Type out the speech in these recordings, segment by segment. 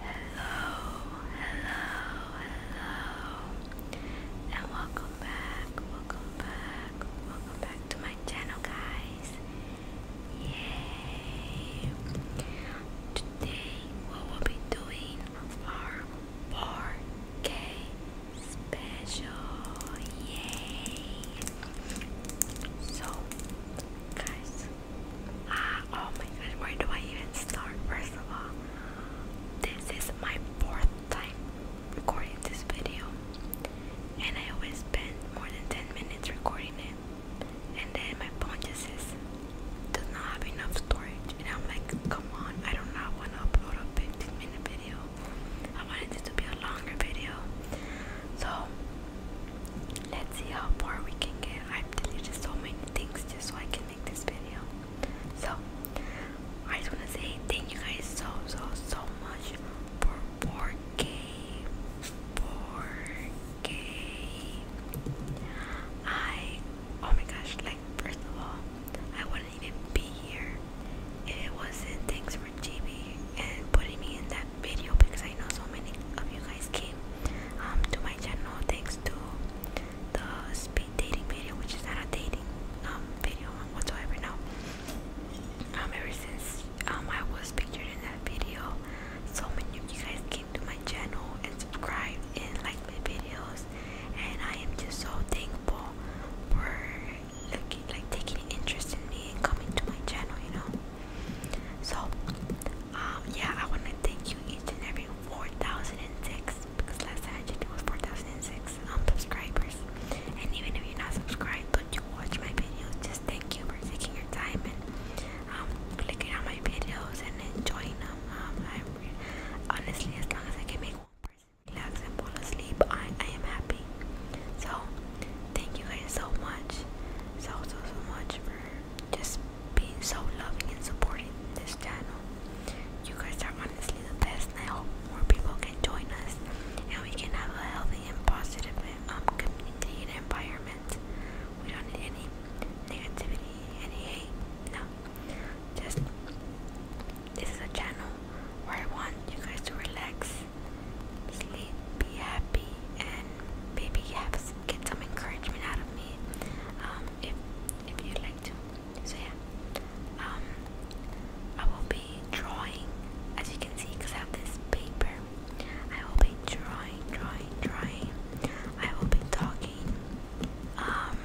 Hello, hello, hello, and welcome back, welcome back, welcome back to my channel, guys. Yay! Today, we will be doing our 4K special. Yay! So, guys, Ah, oh my god, where do I even start? First of all, this is my fourth time recording this video, and I always spend more than 10 minutes recording it, and then my phone just says, does not have enough storage, and I'm like, come on, I do not want to upload a 15 minute video. I wanted this to be a longer video, so Let's see how far we can get. I've deleted so many things just so I can make this video. So, I just want to say thank you guys so, so, so much for 4K. 4K. I, oh my gosh, like, first of all, I wouldn't even be here if it wasn't thanks for GB and putting me in that video because I know so many of you guys came um, to my channel thanks to the speed dating video, which is not a dating um, video whatsoever now. Um, ever since I was pictured in that video, so many of you guys came to my channel and subscribe and like my videos, and I am just so thankful for like, like taking interest in me and coming to my channel, you know. So, um, yeah, I want to thank you each and every 4,006 because last time I checked it was 4,006 um, subscribers. And even if you're not subscribed but you watch my videos, just thank you for taking your time and um, clicking on my videos and enjoying them. I'm honestly, as long as I can make one person relax and fall asleep, I am happy. So, thank you guys so much, so so so much for just being so loving and supporting this channel. You guys are honestly the best, and I hope more people can join us and we can have a healthy and positive um, community environment. We don't need any negativity, any hate. No, just this is a channel where I want you guys to relax, sleep, be happy, and maybe have get some encouragement out of me um, if if you'd like to. So yeah, um, I will be drawing as you can see because I have this paper. I will be drawing, drawing, drawing. I will be talking um,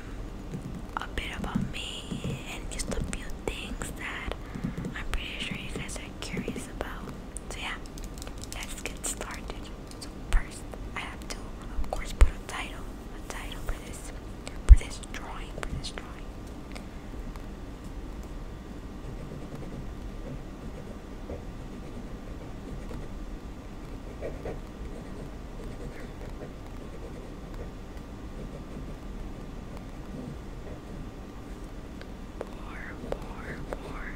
a bit about me and just a few things that I'm pretty sure you guys are curious about. So yeah, let's get started. So first, I have to, of course, put a title, a title for this, for this drawing, for this drawing. More,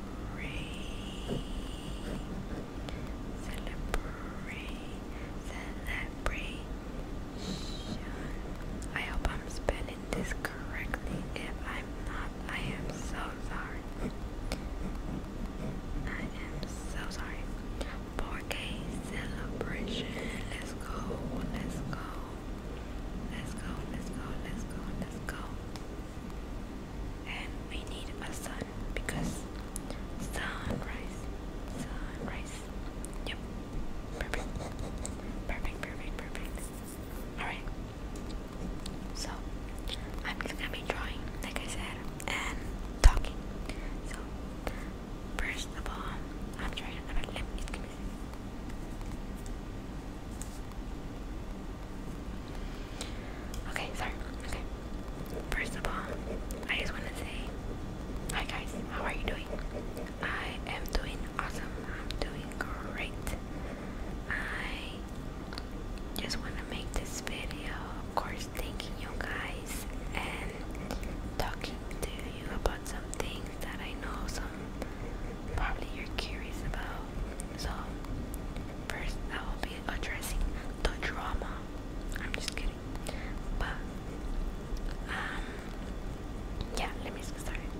celebrate, celebration. I hope I'm spelling this correctly. If I'm not, I am so sorry. I am so sorry. 4K celebration. Let's go. Let's go. Let's go. Let's go. Let's go. Let's go and we need a sun because sunrise, sunrise. Yep, perfect, perfect, perfect, perfect. All right. So I'm just gonna be drawing, like I said, and talking. So first of all, I'm trying. I'm gonna. Excuse Okay, sorry. Okay. First of all, I just want to say hi, guys. How are you doing? I am doing awesome. I'm doing great. I just want to make this video, of course, thanking you guys and talking to you about some things that I know some probably you're curious about. So, First, I will be addressing the drama. I'm just kidding. But, um, yeah, let me get started.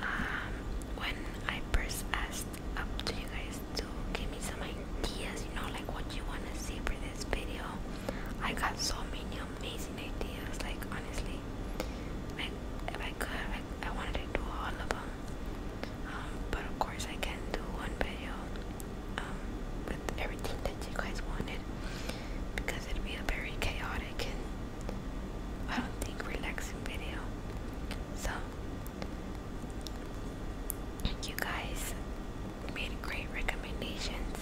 Um, when I first asked up to you guys to give me some ideas, you know, like what you want to see for this video, I got so many amazing ideas. Like, honestly, like, if I could, like, I wanted to do all of them um, but of course I can do one video um, with everything that you guys wanted because it'd be a very chaotic and I don't think relaxing video so you guys made great recommendations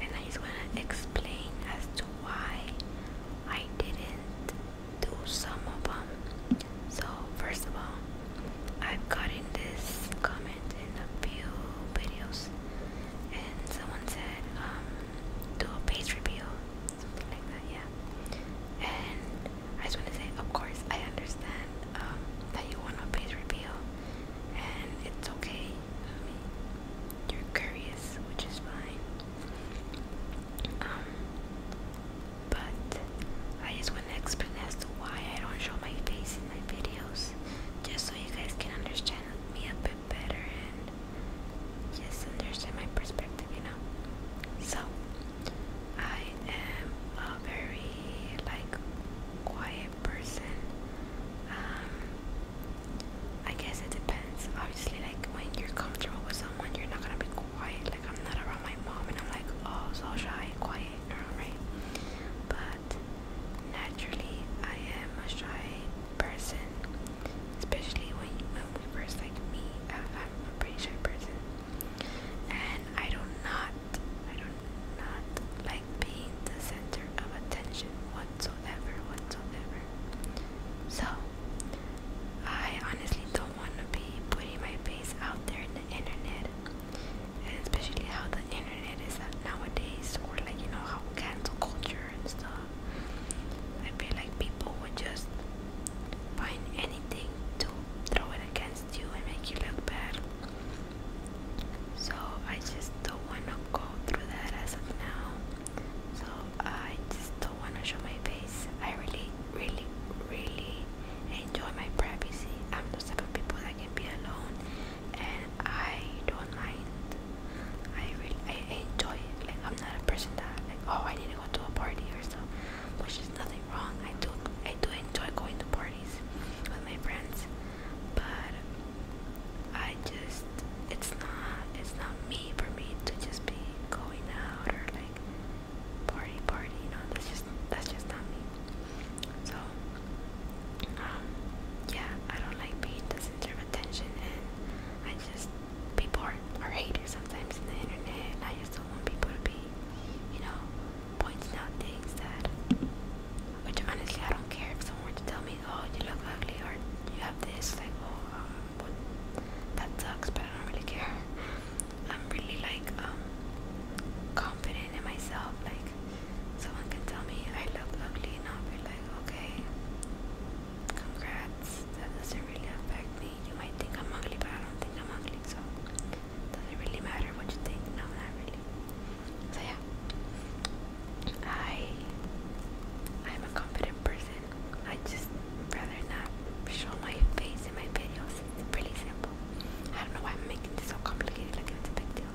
and I just want to explain as to why I didn't do some of them. So first of all, I've gotten this comment in a few videos, and someone said, um, "Do a page review," something like that. Yeah. And I just want to say, of course, I understand um, that you want a page review, and it's okay. you're curious, which is fine. Um, but I just want to explain as to why I don't show my face in my videos, just so you guys can understand me a bit better and just understand my perspective, you know. So I am a very like quiet person. Um, I guess it depends. Obviously, like when you're comfortable with someone, you're not gonna be quiet. Like I'm not around my mom, and I'm like, oh, so shy quiet girl, right? But naturally, I am a shy person, especially when when we first like meet. I'm a pretty shy person, and I do not, I do not like being the center of attention whatsoever, whatsoever. So, I honestly don't don't want to be putting my face out there in the internet, and especially how the internet is nowadays, or like you know how cancel culture and stuff. I feel like people would just find anything to throw it against you and make you look bad. So I just don't want to go through that as of now. So I just don't want to show my face. I really, really, really enjoy my privacy. I'm those type of people that can be alone, and I don't mind. I really, I enjoy it. Like I'm not a person that oh, I need to go to a party or stuff, which is nothing wrong. I do, I do enjoy going to parties with my friends, but I just, it's not, it's not me for me to just be going out or like party party, you know, that's just that's just not me. So um yeah, I don't like being the center of attention and I just people are, are haters sometimes in the internet and I just don't want people to be, you know, pointing out things that which honestly I don't care if someone were to tell me, Oh, you look ugly or you have this like oh uh, what that sucks but I don't really care. I'm really like um confident in myself. Like someone can tell me I look ugly and I'll be like, okay, congrats. That doesn't really affect me. You might think I'm ugly, but I don't think I'm ugly, so does not really matter what you think? No, not really. So yeah. I I'm a confident person. I just rather not show my face in my videos. It's pretty simple. I don't know why I'm making this so complicated, like it's a big deal.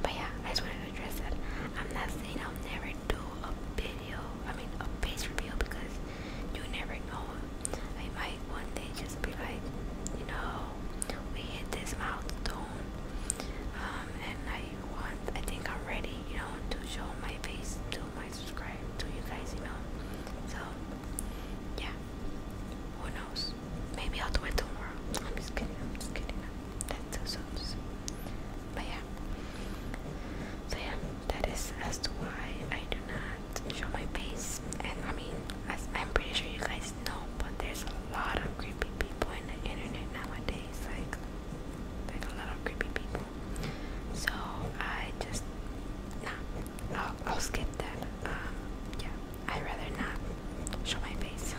But yeah, I just wanted to address that. I'm not saying I'll never do a video, I mean a face reveal because you never know. I might one day just be like, you know, we hit this milestone. Um, and I want, I think I'm ready, you know, to show my face to my subscribe to you guys, you know. So yeah, who knows? Maybe I'll do it tomorrow. I'm just kidding. I'm just kidding. That's so So. But yeah. So yeah, that is as to why I do not show my face. And I mean, I'm pretty sure you guys know, but there's a lot of creepy people in the internet nowadays. Like, like a lot of creepy people. So I just, nah, I'll, skip that. Um, yeah, I'd rather not show my face.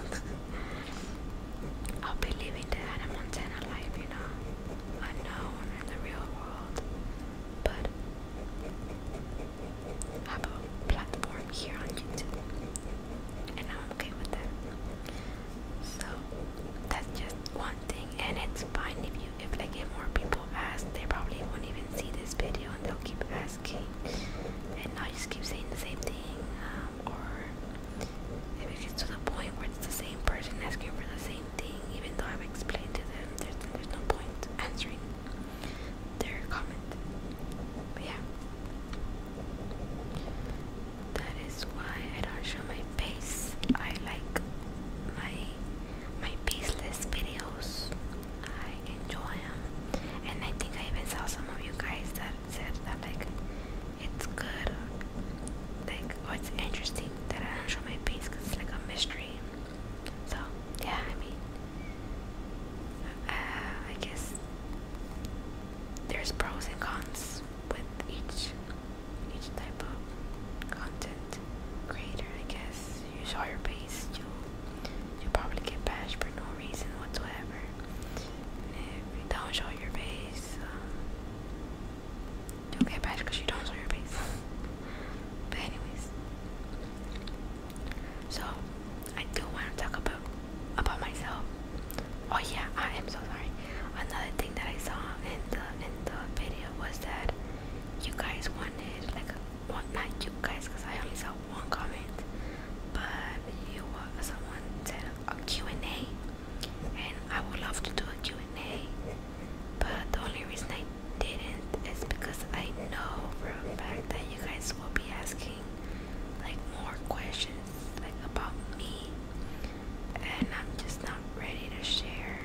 I'll be living the Hannah you know, unknown in the real world. But have a platform here on YouTube, and I'm okay with that. So that's just one thing, and it's fine if if like get more people ask, they probably won't even see this video and they'll keep asking, and I just keep saying the same thing, um, or if it gets to the point where it's the same person asking for the same thing, even though I've explained to them, there's there's no point answering their comment. But yeah, that is why I don't show my face. I like my my pieceless videos. I enjoy them, and I think I even saw some of you guys that said that like it's good, like or oh, it's interesting that I don't show my piece because it's like a mystery. So yeah, I mean, uh, I guess there's pros and cons with each each type of content greater, I guess. You show your base, you you probably get bashed for no reason whatsoever. don't show your base, you get bashed because you don't show your um, base. but anyways, so I do want to talk about about myself. Oh yeah, I am so sorry. Another thing that I saw in the in the video was that you guys wanted like a well, not you guys, because I only saw one comment, but you, uh, someone said a Q&A, and I would love to do a Q&A, but the only reason I didn't is because I know for a fact that you guys will be asking like more questions like about me, and I'm just not ready to share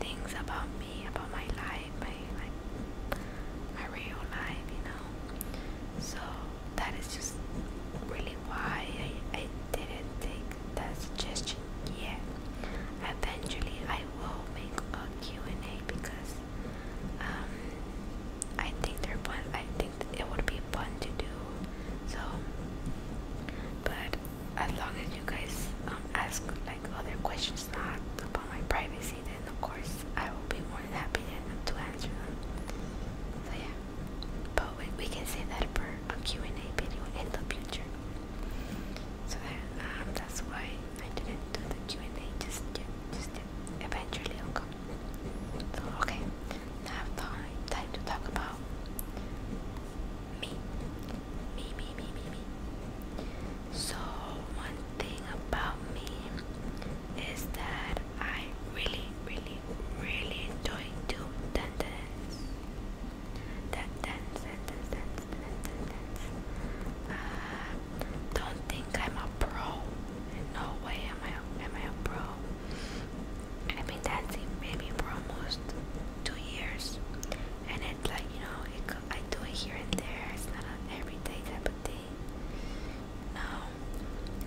things about me, about my life, my like my real life, you know. So that is just really why I, I didn't take that suggestion yet. Eventually, I will make a Q and A because um, I think they fun. I think it would be fun to do. So, but as long as you guys um, ask like other questions not about my privacy, then of course I will be more than happy to answer them. So yeah, but we, can say that for a Q and A video in the future. So uh, that's why I didn't do the Q and A just yet. Just Eventually, I'll come. okay, now I have time to talk about me. Me, me, me, me, me. So, one thing about me is that I really, really, really enjoy doom dance. That dance, dance, dance, dance, dance. Uh, don't think I'm a pro. In no way am I, am I a pro. I've been dancing maybe for almost two years, and like you know, I do it here and there. It's not an everyday type of thing. Um,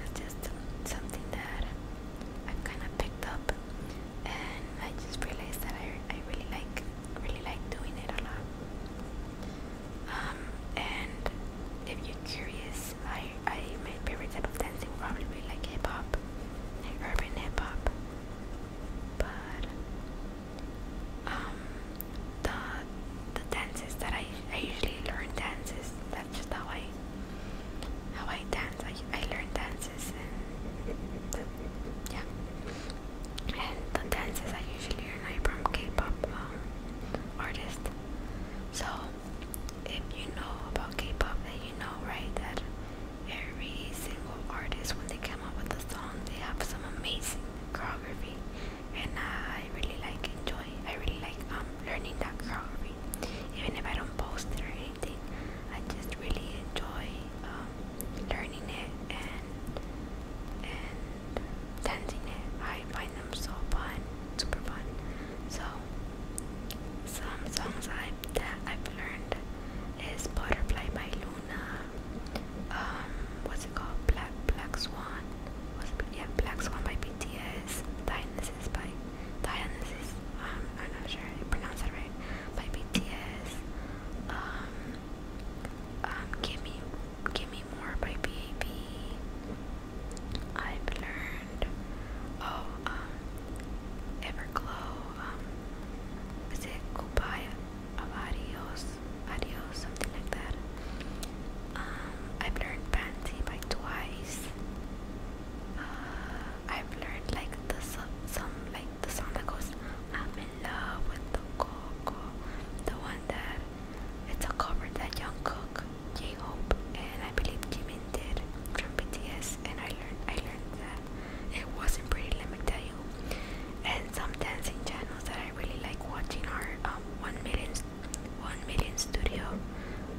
it's just something that I've kind of picked up, and I just realized that I I really like really like doing it a lot. Um, and if you're curious, I I my favorite type of dancing would be like hip hop, like urban hip hop. But um, the the dances that I I usually learn dances. That's just how I how I dance. I I learn dances and the, yeah. And the dances I usually learn are from K-pop um, artists. So if you know about K-pop, then you know right that every single artist when they come up with a song they have some amazing choreography and I really like enjoy I really like um learning that choreography even if I don't post it or anything I just really enjoy um, learning it and and dancing it I find them so fun super fun so some songs I that I've learned is Butterfly by um, what's it called? Black Black Swan. Was it, yeah, Black Swan by BTS. Dionysus by Dionysus. Um, I'm not sure I pronounced that right. By BTS. Um, um, give me, give me more by BAB. have learned. Oh, um, Everglow. Um, is it Kubaya? of Adios, something like that. Um, I've learned Pansy by twice. Uh, I've learned like the some like the song that goes I'm in love with the coco. The one that it's a cover that Young Cook, J Hope and I believe Jimin did from BTS and I learned I learned that it wasn't pretty limited and some dancing channels that I really like watching are um, One Million One Million Studio,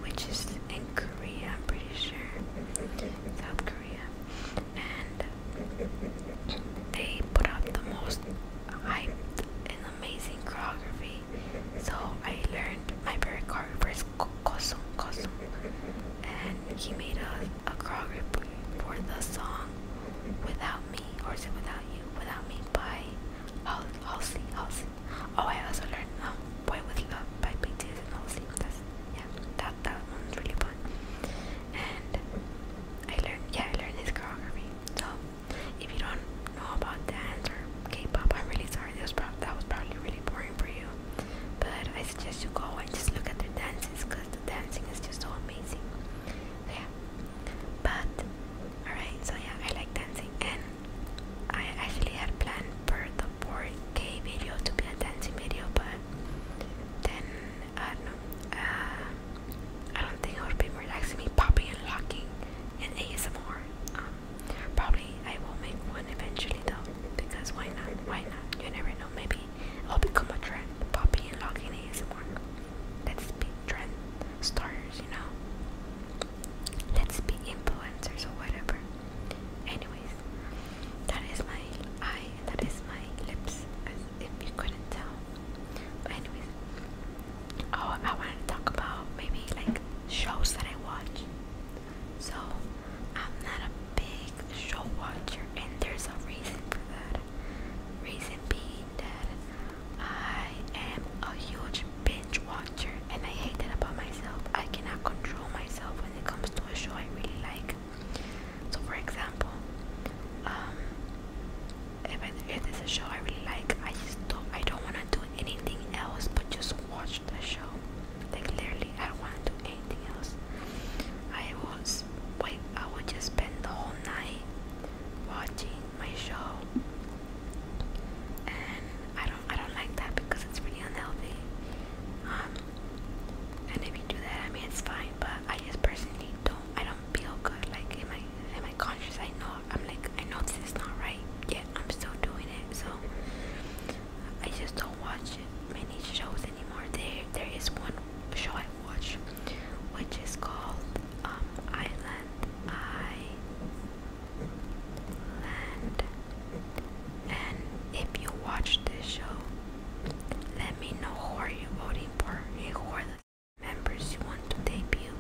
which is in Korea, I'm pretty sure, South Korea, and they put up the most hyped and amazing choreography. So I learned my favorite choreographer is Kosung Kosung and he made a, a choreography for the song Without Me, or is it Without You? Without Me by Halsey. Halsey. Oh, I also learned um, Boy With Love by BTS and Halsey. That's, yeah, that, that one's really fun. And I learned, yeah, I learned this choreography. So, if you don't know about dance or K-pop, I'm really sorry. That was, that was probably really boring for you. But I suggest you go and just look at their dances because dancing is just so amazing. yeah. But alright, so yeah, I like dancing and I actually had planned for the 4 video to be a dancing video but then I don't uh, think it would be relaxing me popping and locking and ASMR. Um, probably I will make one eventually though because why not? Why not? You never know. Maybe i will become a trend. Popping and logging ASMR. Let's be trend stars, you know. Let's be influencers or whatever. Anyways, that is my eye that is my lips, as if you couldn't tell. anyways, oh, I wanted to talk about maybe like shows that I watch. So I'm not big show watcher, and there's a reason for that. Reason being that I am a huge binge watcher, and I hate that about myself. I cannot control myself when it comes to a show I really like. So, for example, um, if, if there's a show I really like, I just don't, I don't want to do anything else but just watch the show. Like literally, I don't want to do anything else. I was wait I would just spend the whole night watching my show and I don't I don't like that because it's really unhealthy. Um and if you do that I mean it's fine but I just personally don't I don't feel good like in my in my conscious I know I'm like I know this is not right yet I'm still doing it so I just don't watch many shows anymore. There, there is one show I watch, which is called um, Island Island. And if you watch this show, let me know who are you voting for and who are the members you want to debut.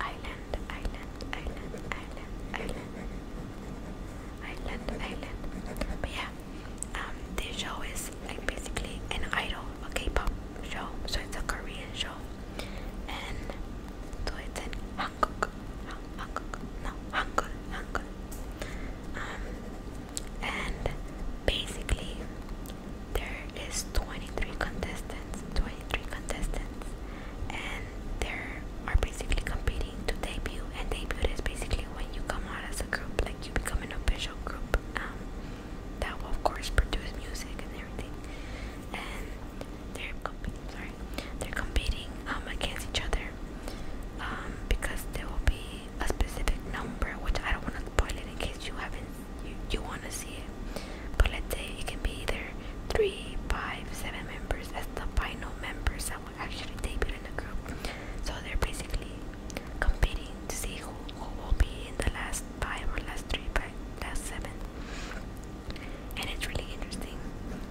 Island, island, island, island, island, island, island. But yeah, um, this show is like basically an idol a k-pop show so it's a korean show and so it's in Hanguk, Hanguk, no, Hangul, Hangul. Um, and basically there is 23 contestants, 23 contestants, and there are basically competing to debut, and debut is basically when you come out as a group, like you become an official group um, that will, of course, produce music and everything. And they're competing, sorry, they're competing um, against each other um, because there will be a specific number, which I don't want to spoil it in case you haven't, you, want to see it. But let's say it can be either three, five, seven members as the final members someone actually debuted in the group. So they're basically competing to see who, who will be in the last five or last three, but last seven. And it's really interesting.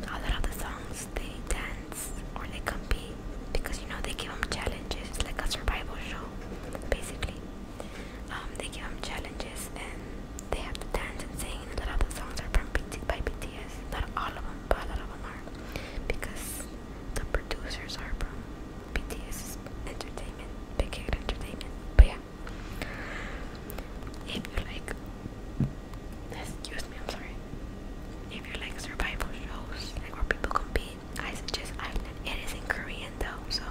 A lot of the songs they dance or they compete because you know they give them challenges. It's like a survival show, basically. Um, they give them challenges and they have to dance and sing. A lot of the songs are from BT by BTS. Not all of them, but a lot of them are because the producers are from BTS Entertainment, Big Hit Entertainment. But yeah, if you like, excuse me, I'm sorry. If you like survival shows, like where people compete, I suggest Island. It is in Korean though, so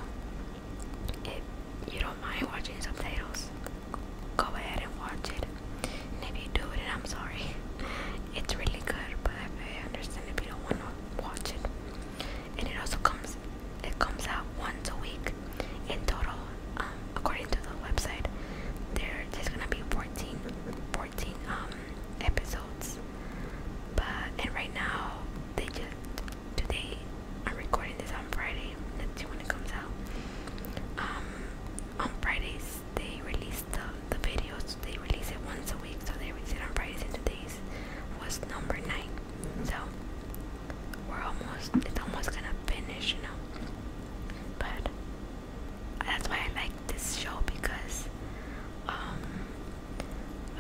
if you don't mind watching subtitles, go ahead and watch it if you do it, I'm sorry. It's really good, but I understand if you don't want to watch it. And it also comes, it comes out once a week in total. Um, according to the website, there's gonna be 14, 14 um, episodes. But and right now they just today I'm recording this on Friday. Let's see when it comes out. Um, on Fridays they released the, the videos they release it once a week so they release it on Fridays today's was number nine so we're almost it's almost gonna finish you know but that's why I like this show because um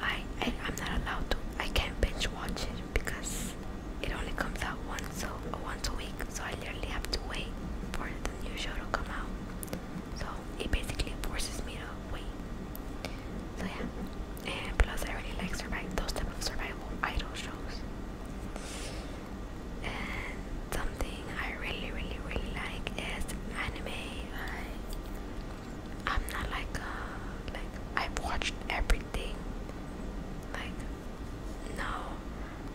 I, I I'm not allowed to I can't binge watch it because it only comes out once so once a week so I literally have to wait for the new show to come out so it basically forces me to wait. So yeah. And plus I really like survive those type of survival idol shows. And something I really really really like is anime. I am not like uh like I've watched everything. Like no,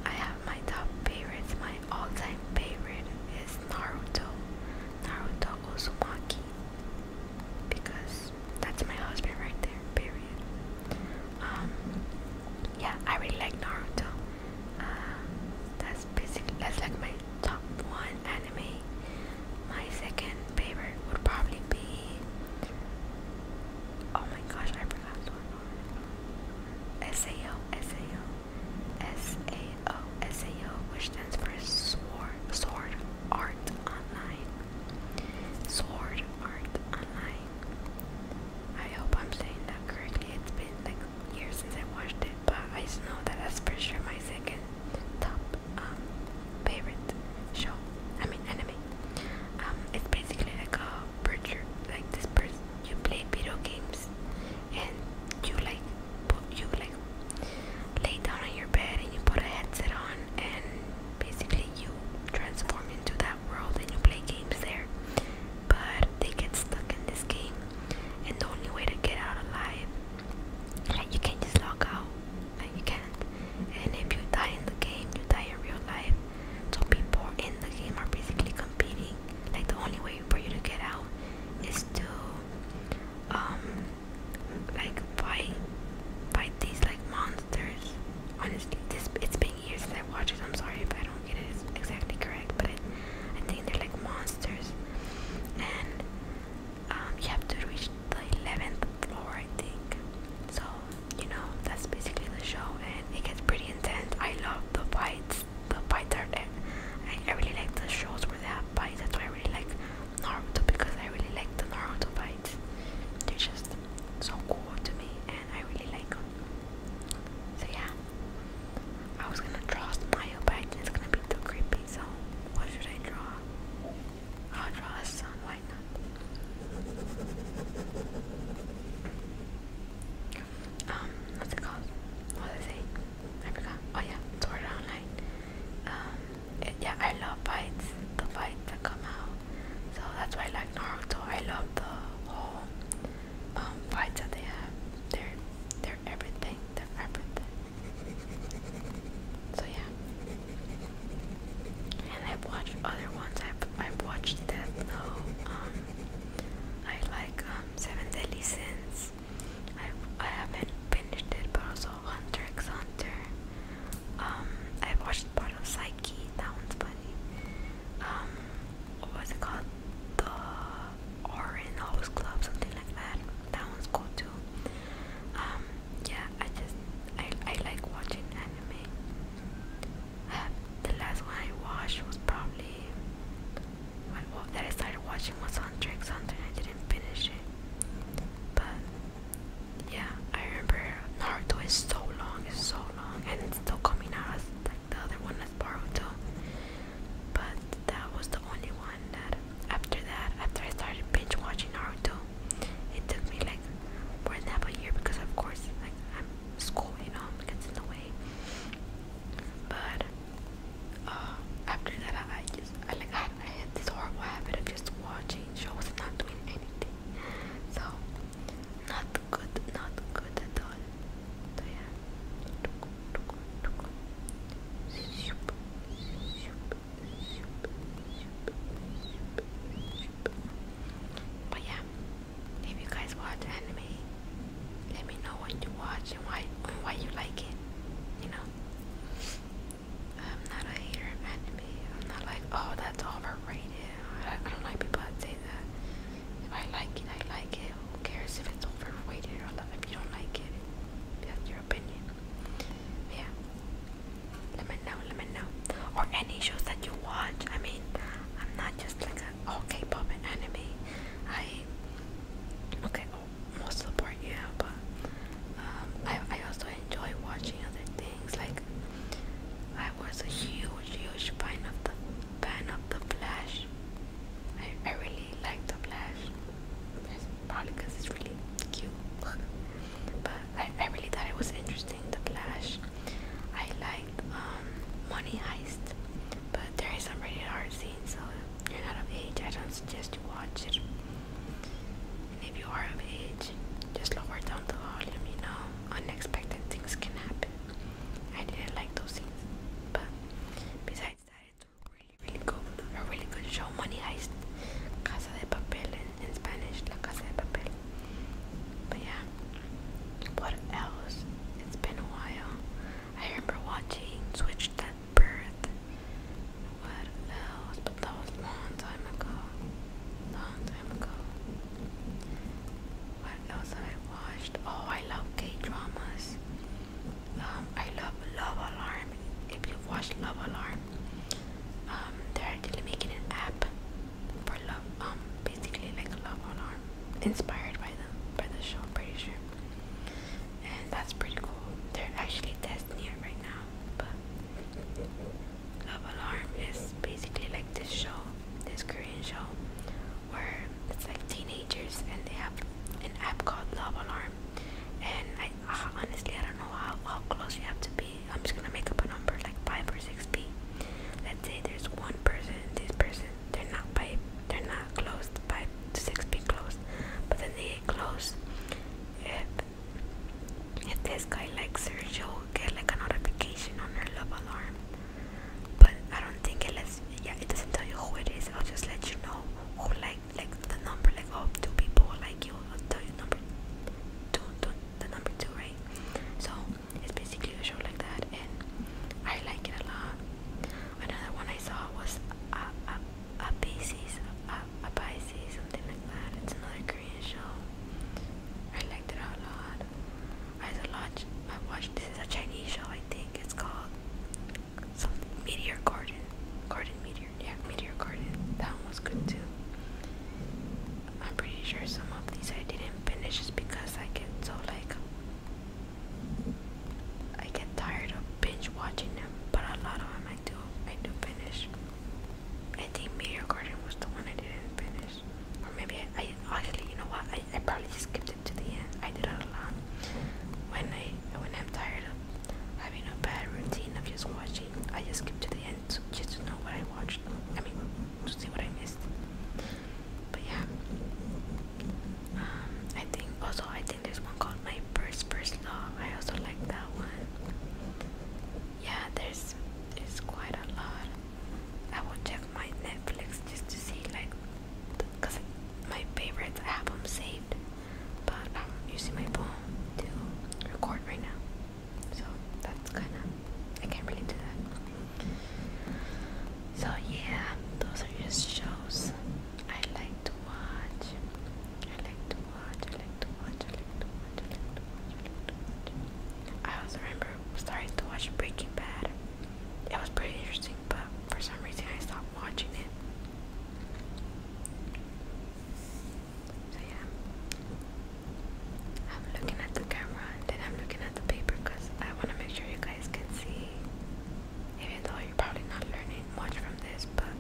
I have my top favorite, my all-time favorite is Naruto. Naruto Uzumaki. Because that's my husband right there, period. Um, yeah, I really like Naruto. Um, that's basically that's like my top one anime. My second favorite would probably be Oh my gosh, I forgot one. SAO, SAO. S A O S A O, which stands for Sword, Sword Art Online. Sword Art Online. I hope I'm saying that correctly. It's been like years since I watched it, but I just know that that's for sure my second top um, favorite show. I mean, anime. Um, it's basically like a butcher, like this person, you play video games and you like you like lay down on your bed and you put a headset on and basically you transform into that world and you play games there but they get stuck in this game and the only way to get out alive like you can't just log out like you can't and if you die in the game you die in real life so people in the game are basically competing. Like the only way for you to get out is to um like fight fight these like monsters. Honestly, this it's been years since I watched it. I'm sorry if I don't get it exactly correct, but I think they're like monsters. And um, you have to reach the 11th floor, I think. So, you know, that's basically the show, and it gets pretty intense. I love the fights. But by third, art. I, I really like the shows where they have bites. That's why I really like Naruto because I really like the Naruto bites. They're just so cool to me, and I really like them. So yeah, I was gonna draw Smile, but it's gonna be too creepy. So what should I draw? I'll draw a sun. Why not? um, what's it called? What was I saying? I forgot. Oh yeah, Sword Art Online. Um, yeah, I love fights, the fights that come out. So that's why I like Naruto. I love the whole um, fights that they have. They're they're everything. They're everything. So yeah. And I've other ones. I've I've watched Death Note. Um, I like um, Seven Deadly Sins. I, I haven't finished it, but also Hunter x Hunter. Um, I watched part of Psyche. That one's funny. Um, what was it called? The Orin Host Club, something like that. That one's cool too. Um, yeah, I just I I like watching anime the last one I watched was probably when well, that I started watching was on Tricks and I didn't finish it. But yeah, I remember Naruto is so long, it's so long, and it's still coming out as like the other one as Boruto. But that was the only one that after that, after I started binge watching Naruto, it took me like more than half a year because of course like I'm school, you know, gets in the way. But uh, after that, I, I just I, like I, I had this horrible habit of just watching shows and not doing anything. So not good, not good at all. So yeah. But yeah, if you guys watch anime, let me know what you watch and why why you like it. You know, I'm not a hater of anime. I'm not like, oh, that's overrated. I, don't like people say that. If I like it, I like it. Who cares if it's overrated If you don't like it, that's your opinion. Yeah. Let me know. Let me know. Or any shows that you watch. I mean, I'm not just like a oh, K-pop and anime. I okay, oh, most of the part yeah, but um, I I also enjoy watching other things. Like I was a huge, huge fan of the fan of the Flash. I I really like the Flash. Probably because it's really cute, but I I really thought it was interesting the Flash. I liked um, Money Heist, but there is some really hard scenes. so if you're not of age, I don't suggest you watch it. And if you are of age, just lower down the volume, you know, unexpected things can happen. I didn't like those scenes, but besides that, it's really, really good. A really good show, Money Heist, Casa de Papel in, in Spanish, La Casa de Papel. But yeah, what else? It's been a while. I remember watching Switched at Birth. What else? But that was long time ago. Long time ago. What else have I watched? Oh, I love K dramas. Um, I love Love Alarm. If you've watched Love Alarm, um, they're actually making an app for love, um, basically like Love Alarm inspired by them, by the show, I'm pretty sure. And that's pretty cool. They're actually testing it right now. But Love Alarm is basically like this show, this Korean show, where it's like teenagers and they have an app called Love Alarm. And I honestly I don't know how, close you have to be. I'm just gonna make up a number like five or six feet. Let's say there's one person, this person they're not by they're not closed by six be closed, but then they get If if this guy likes her, get like a notification on her love alarm. But I don't think it lets. Yeah, it doesn't tell you who it is. I'll just let you know. Who like like the number? Like oh, two people like you. I'll tell you number two, two the number two, right? So it's basically a show like that, and I like it a lot. Another one I saw was a Abasis, Abasis, something like that. It's another Korean show. I liked it a lot. I watched, I watched. This is a Chinese show, I think. It's called some Meteor Garden, Garden Meteor. Yeah, Meteor Garden. That one was good too. I'm pretty sure some of these I didn't finish just because I get so like I get tired of binge watching them, but a lot of them I do I do finish. I think Meteor Garden was the one I didn't finish, or maybe I, I honestly, you know what? I, I probably just skipped it to the end. I did a lot when I when I'm tired of having a bad routine of just watching. I just skip to the end to, just to know what I watched. I mean, to see what I missed. But yeah, um, I think also I think there's one called My First First Love. I also like that one. Yeah, there's it's quite a lot. I will check my Netflix just to see like, cause my favorites I have them saved, but I'm um, using my phone to record right now, so that's kind of I can't really do that. So yeah, those are just shows I like to watch. I like to watch. I like to watch. I like to watch. I like to watch. I like to watch. I also remember starting to watch Breaking Bad. It was pretty interesting, but for some reason I stopped watching it. So yeah, I'm looking at the camera and I'm looking at the paper because I want to make sure you guys can see. Even though you're probably not learning much from this, but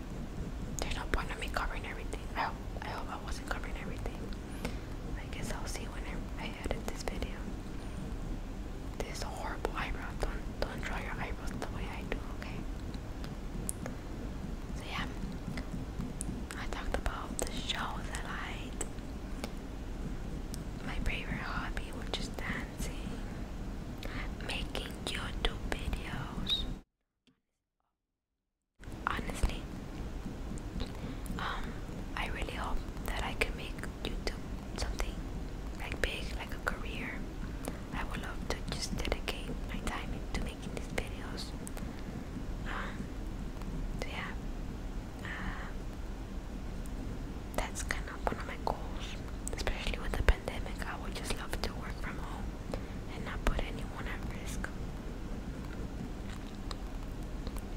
there's no point of me covering everything. I hope I, wasn't covering everything. I guess I'll see when I, edit this video. This horrible eyebrow. Don't don't draw your eyebrows the way I do, okay? So yeah, I talked about the shows I liked. My favorite hobby, which just dancing, making YouTube videos. Honestly, um, I really hope that I can make YouTube something like big, like a career. I would love to just dedicate my time to making these videos. Um, so yeah, um, that's kind of one of my goals, especially with the pandemic. I would just love to work from home and not put anyone at risk.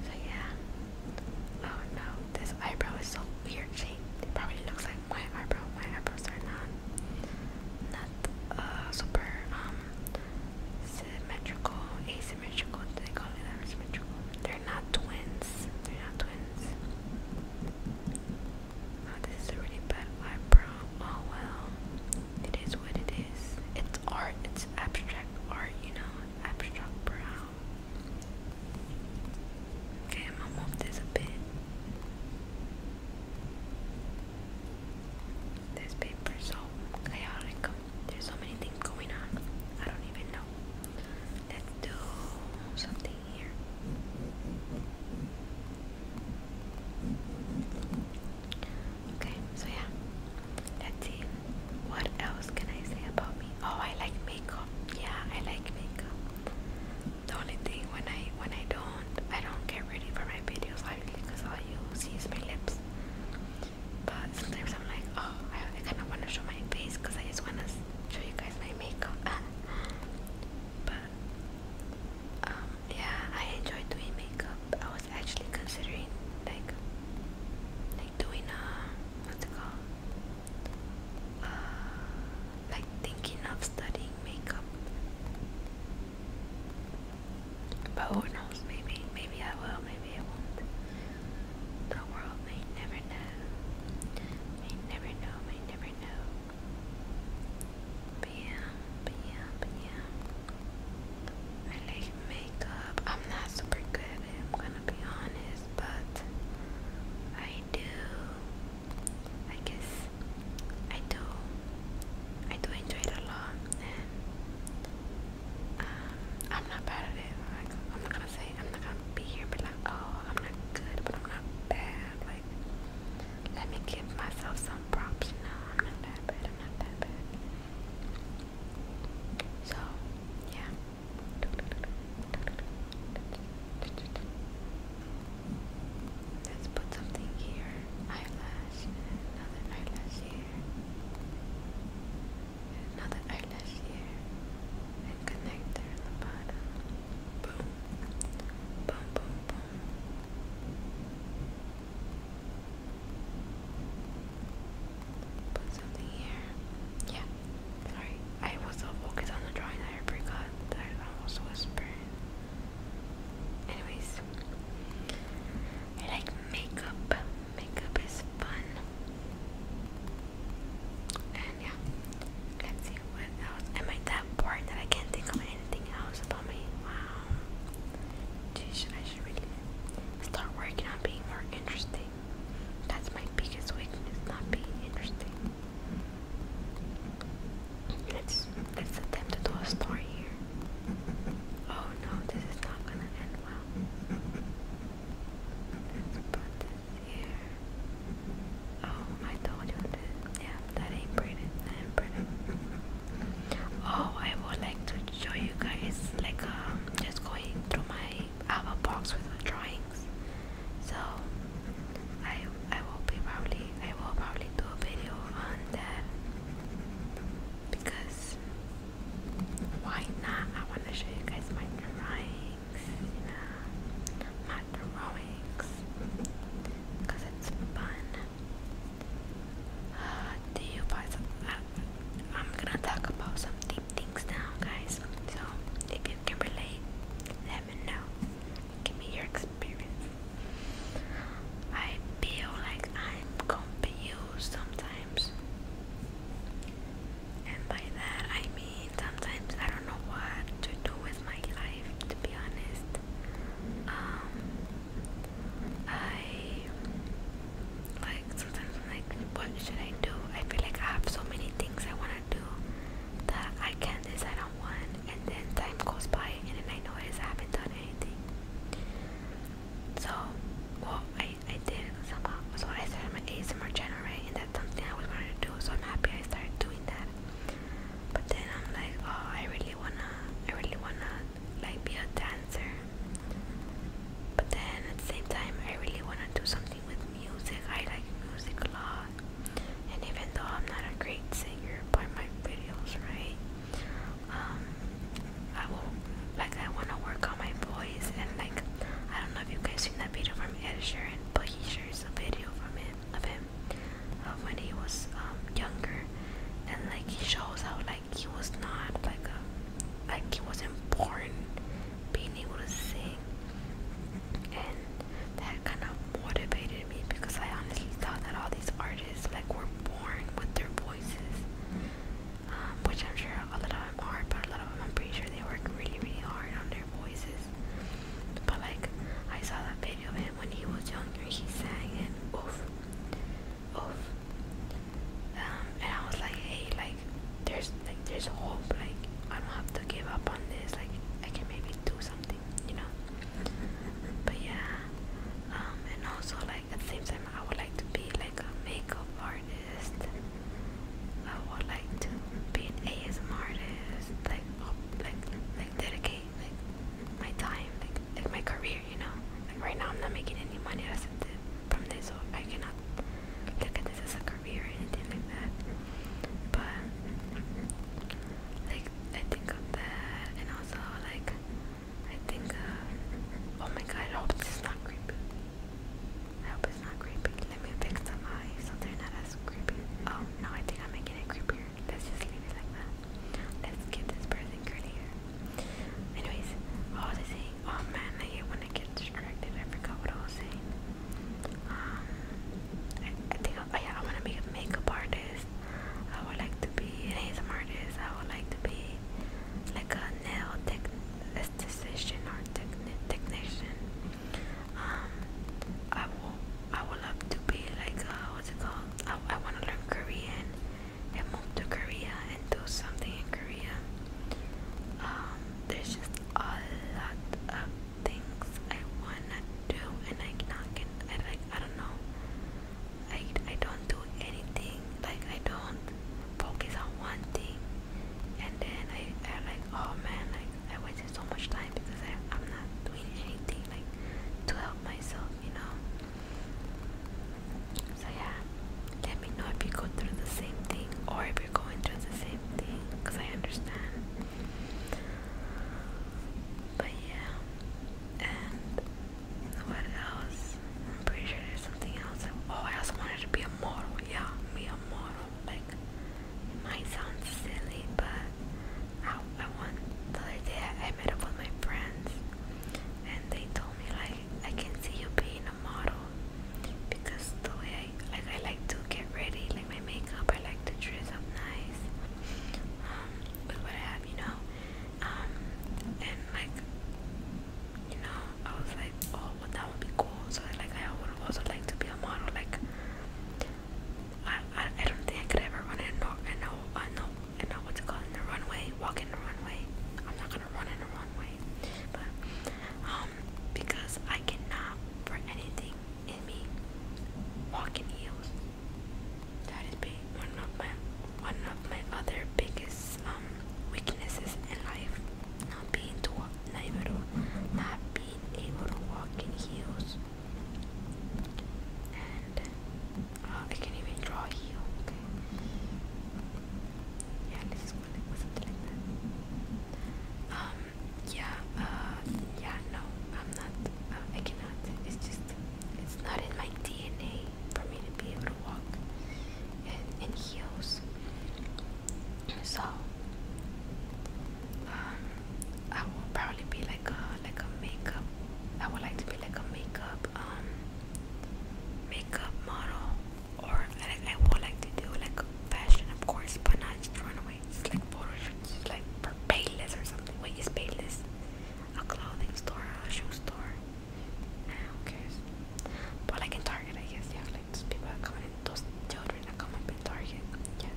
So yeah. Oh no, this eyebrow is so weird shaped. probably looks like my eyebrow. My eyebrows are not not uh, super um, symmetrical, symmetrical. they call it asymmetrical? They're not twins. They're not twins. Oh, this is a really bad eyebrow. Oh well. It is what it is. It's art. It's abstract art, you know. Abstract brow. Okay, I'm gonna move this a bit. There's paper so chaotic. There's so many things going on. I don't even know let's do something here. Okay, so yeah, let's see. What else can I say about me? Oh, I like makeup. Yeah, I like makeup. The only thing when I when I don't I don't get ready for my videos, obviously, because all you see is my lips but sometimes I'm like, oh, I, kind of want to show my face because I just want to show you guys my makeup. but um, yeah, I enjoy doing makeup. I was actually considering like like doing a uh, what's it called? Uh, like thinking of studying makeup. But who knows? Maybe, maybe I will. Maybe I won't. The world may never know. May never know, may never know. But yeah, but yeah, but yeah. I like makeup. I'm not super good I'm gonna be honest, but I do. I guess I do. I do enjoy it a lot, and um, I'm not bad at it. I'm not gonna say I'm not gonna be here, but like, oh, I'm not good, but I'm not bad. Like, let me give myself some props. No, I'm not that bad. I'm not that bad. So, yeah. Let's put something here. Eyelash, another eyelash here. Now eyelash here and connect there in the bottom. Boom. Boom boom boom. Put something here. Yeah. Sorry. I was so focused on the drawing that I forgot that I was whispering. Anyways. I like makeup makeup is fun. And yeah, let's see what else. Am I that bored that I can't think of anything else about me? Wow. Geez, I should really start working on being more interesting. That's my biggest weakness, not being interesting. Let's let's attempt to do a story here. Oh no, this is not gonna end well. Oh, I told you that. Yeah, that ain't pretty. That ain't pretty. Oh, I would like to show you guys like um, just going through my album box with my drawings. So I I will be probably I will probably do a video on that because why not? I want to show you guys my drawing yeah. it's fun. do you buy some? Uh, I'm gonna talk about some things now, guys. So if you can relate, let me know. Give me your experience. I feel like I'm confused sometimes and by that I mean sometimes I don't know what to do with my life to be honest um, I like sometimes I'm like what should I do I feel like I have so many things I want to do that I can't decide on one and then time goes by and then I notice I haven't done anything so well I I did somehow. So I started my ASMR channel, right? And that's something I was wanted to do. So I'm happy I started doing that. But then I'm like, oh, I really wanna, I really wanna like be a dancer. But then at the same time, I really wanna do something with music. I like music a lot. And even though I'm not a great singer by my videos, right? Um, I will like I wanna work on my voice and like I don't know if you guys seen that video from Ed Sheeran, but he shares a video from him of him of when he was um, younger and like he shows how like he was not like a like he wasn't born being able to sing and that kind of motivated me because I honestly thought that all these artists like were born with their voices which I'm sure a lot of them are, but a lot of them I'm pretty sure they work really, really hard on their voices. But like, I saw that video of him when he was younger, he sang and oof, oof. Um, and I was like, hey, like, there's like, there's hope. Like, I don't have to give up on this. Like, I can maybe do something, you know. But yeah, um, and also like at the same time, I would like to be like a makeup artist artist. I would like like like dedicate like my time, like like my career, you know. Like right now, I'm not making any money from this, so I cannot look at this as a career or anything like that. But like I think of that, and also like I think, uh, oh my god, hope this is not creepy. I hope it's not creepy. Let me fix them high so they're not as creepy. Oh, no, I think I'm making it creepier. Let's just leave it like that. Let's get this person curlier. Anyways, what was I Oh man, I hate when I get distracted. I forgot what I was saying. Um, I, think, oh yeah, I want to be a makeup artist. I would like to be an ASMR artist. I would like to be like a nail tech, esthetician or technician. Um, I will I would love to be like uh, what's it called? I, I want to learn Korean and move to Korea and do something in Korea. Um, there's just a lot of things I wanna do and I not can I like I don't know. I I don't do anything like I don't focus on one thing and then I, I like oh man like I wasted so much time because I, am not doing anything like to help myself you know so yeah let me know if you go through the same thing or if you're going through the same thing because I understand but yeah and what else I'm pretty sure there's something else oh I also wanted to be a model yeah me feel like it might sound silly, but I, I want the other day I met up with my friends and they told me like I can see you being a model because the way I like I like to get ready, like my makeup, I like to dress up nice um, with you know, um, and like you know, I was like, oh, that would be cool. So like, I would also like to be a model. Like, I, I, don't think I could ever run in no, I know, I know, I know what's it called in the runway, walk in the runway. I'm not gonna run in the runway, but um, because I cannot for anything in me walking heels. That is big, one of my one of my other biggest weaknesses in life, not being able to, not being able to walk in heels, and uh, I can't even draw a Okay, yeah, this is what it was Um, yeah, uh, yeah, no, I'm not. Uh, I cannot. It's just, it's not in my DNA for me to be able to walk in, in heels. So um, I will probably be like a like a makeup. I would like to be like a makeup um makeup model, or I, I would like to do like fashion, of course, but not just runaways, like photo like for Payless or something. Wait, is Payless a clothing store, or a shoe store? Who But like in Target, I guess, yeah, things. People are coming, those children are coming with Target. Yeah.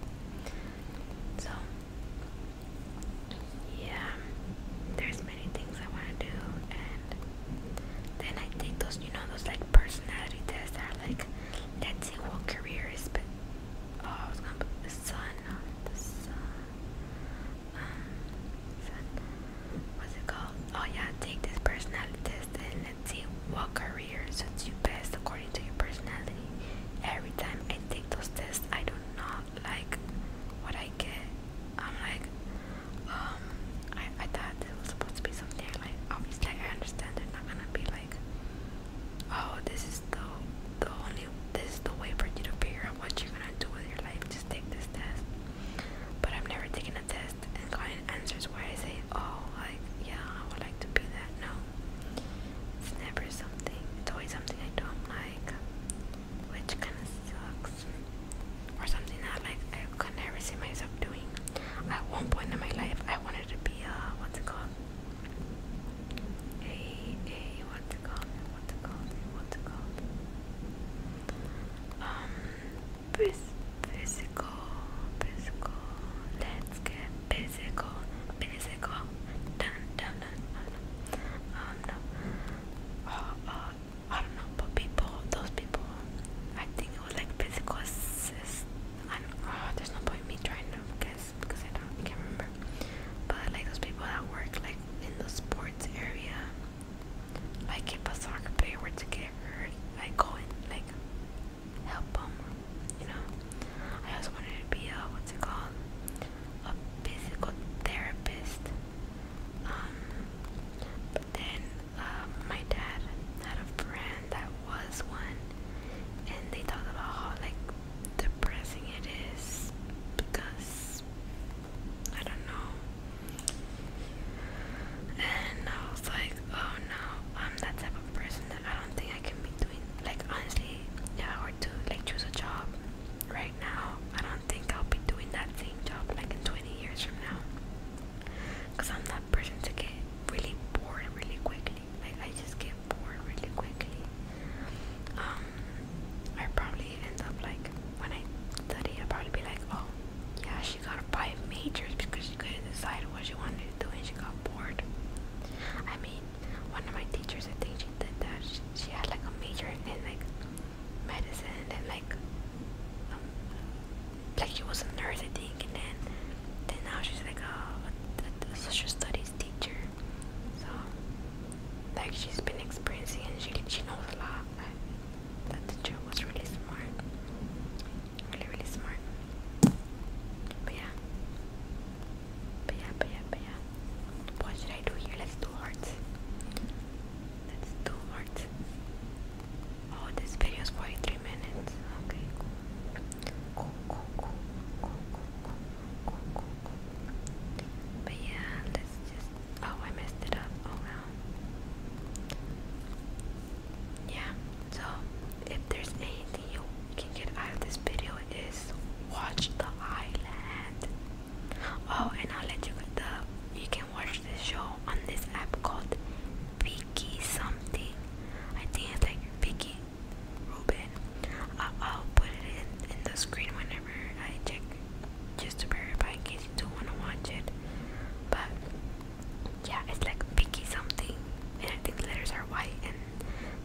So, yeah, there's many things I want to do, and then I take those, you know, those like personality tests that like, let's see what career is. But oh, I was gonna put the sun the um, sun. What's it called? Oh yeah, take this personality test and see what career suits you best according to your personality. Every time I take those tests, I do not like what I get. I'm like, um, I, I thought it was supposed to be something like, obviously, I understand they're not gonna be like, oh, this is the, the only, this is the way for you to figure out what you're gonna do with your life. Just take this test but I've never taken a test and gotten answers where I say, oh, like, yeah, I would like to be that. No, it's never something, it's always something I don't like, which kind of sucks, or something that, like, I could never see myself doing. At one point in my life, I wanted to be, uh, what's it called? A, a, what's it called? What's it called? What's it called? Um, physical, physical. Let's get physical, physical. Dun dun dun. dun. Um no. Uh, uh, I don't know, but people, those people. I think it was like physical I don't, uh, there's no point me trying to guess because I don't, I can't remember. But like those people that work like in the sports area, like if a soccer player were to get hurt, I go and like help them, you know. I also wanted to be a what's it called, a physical therapist. Um, but then uh, my dad had a friend that was one, and they talked about how like depressing it is because I don't know and I was like, oh no, I'm that type of person that I don't think I can be doing. Like, honestly, if I were to like choose a job right now, I don't think I'll be doing that same job like in 20 years from now. Because I'm that person to get really bored really quickly. Like, I just get bored really quickly. Um, I probably end up like, when I study, I'll probably be like, oh, yeah, she got five majors because she couldn't decide what she wanted to do and she got bored. I mean, one of my teachers, I think she did that. She, she had like a major in like medicine and like, um, like she was a nurse, I think, and then, then now she's like a, a, a social studies teacher. So, like she's been experiencing and she, she knows a lot. I, that the Joe was really smart. Really, really smart. But yeah. But yeah, but yeah, but yeah. What should I do here? Let's do hearts. Let's do hearts. Oh, this video is 43 minutes. Okay, But yeah, let's just. Oh, I messed it up. Oh no yeah so if there's anything you can get out of this video is watch the island oh and i'll let you get the you can watch this show on this app called Vicky something i think it's like Vicky Ruben I'll, put it in, the screen whenever I check just to verify in case you do not want to watch it but yeah, it's like Vicky something, and I think the letters are white, and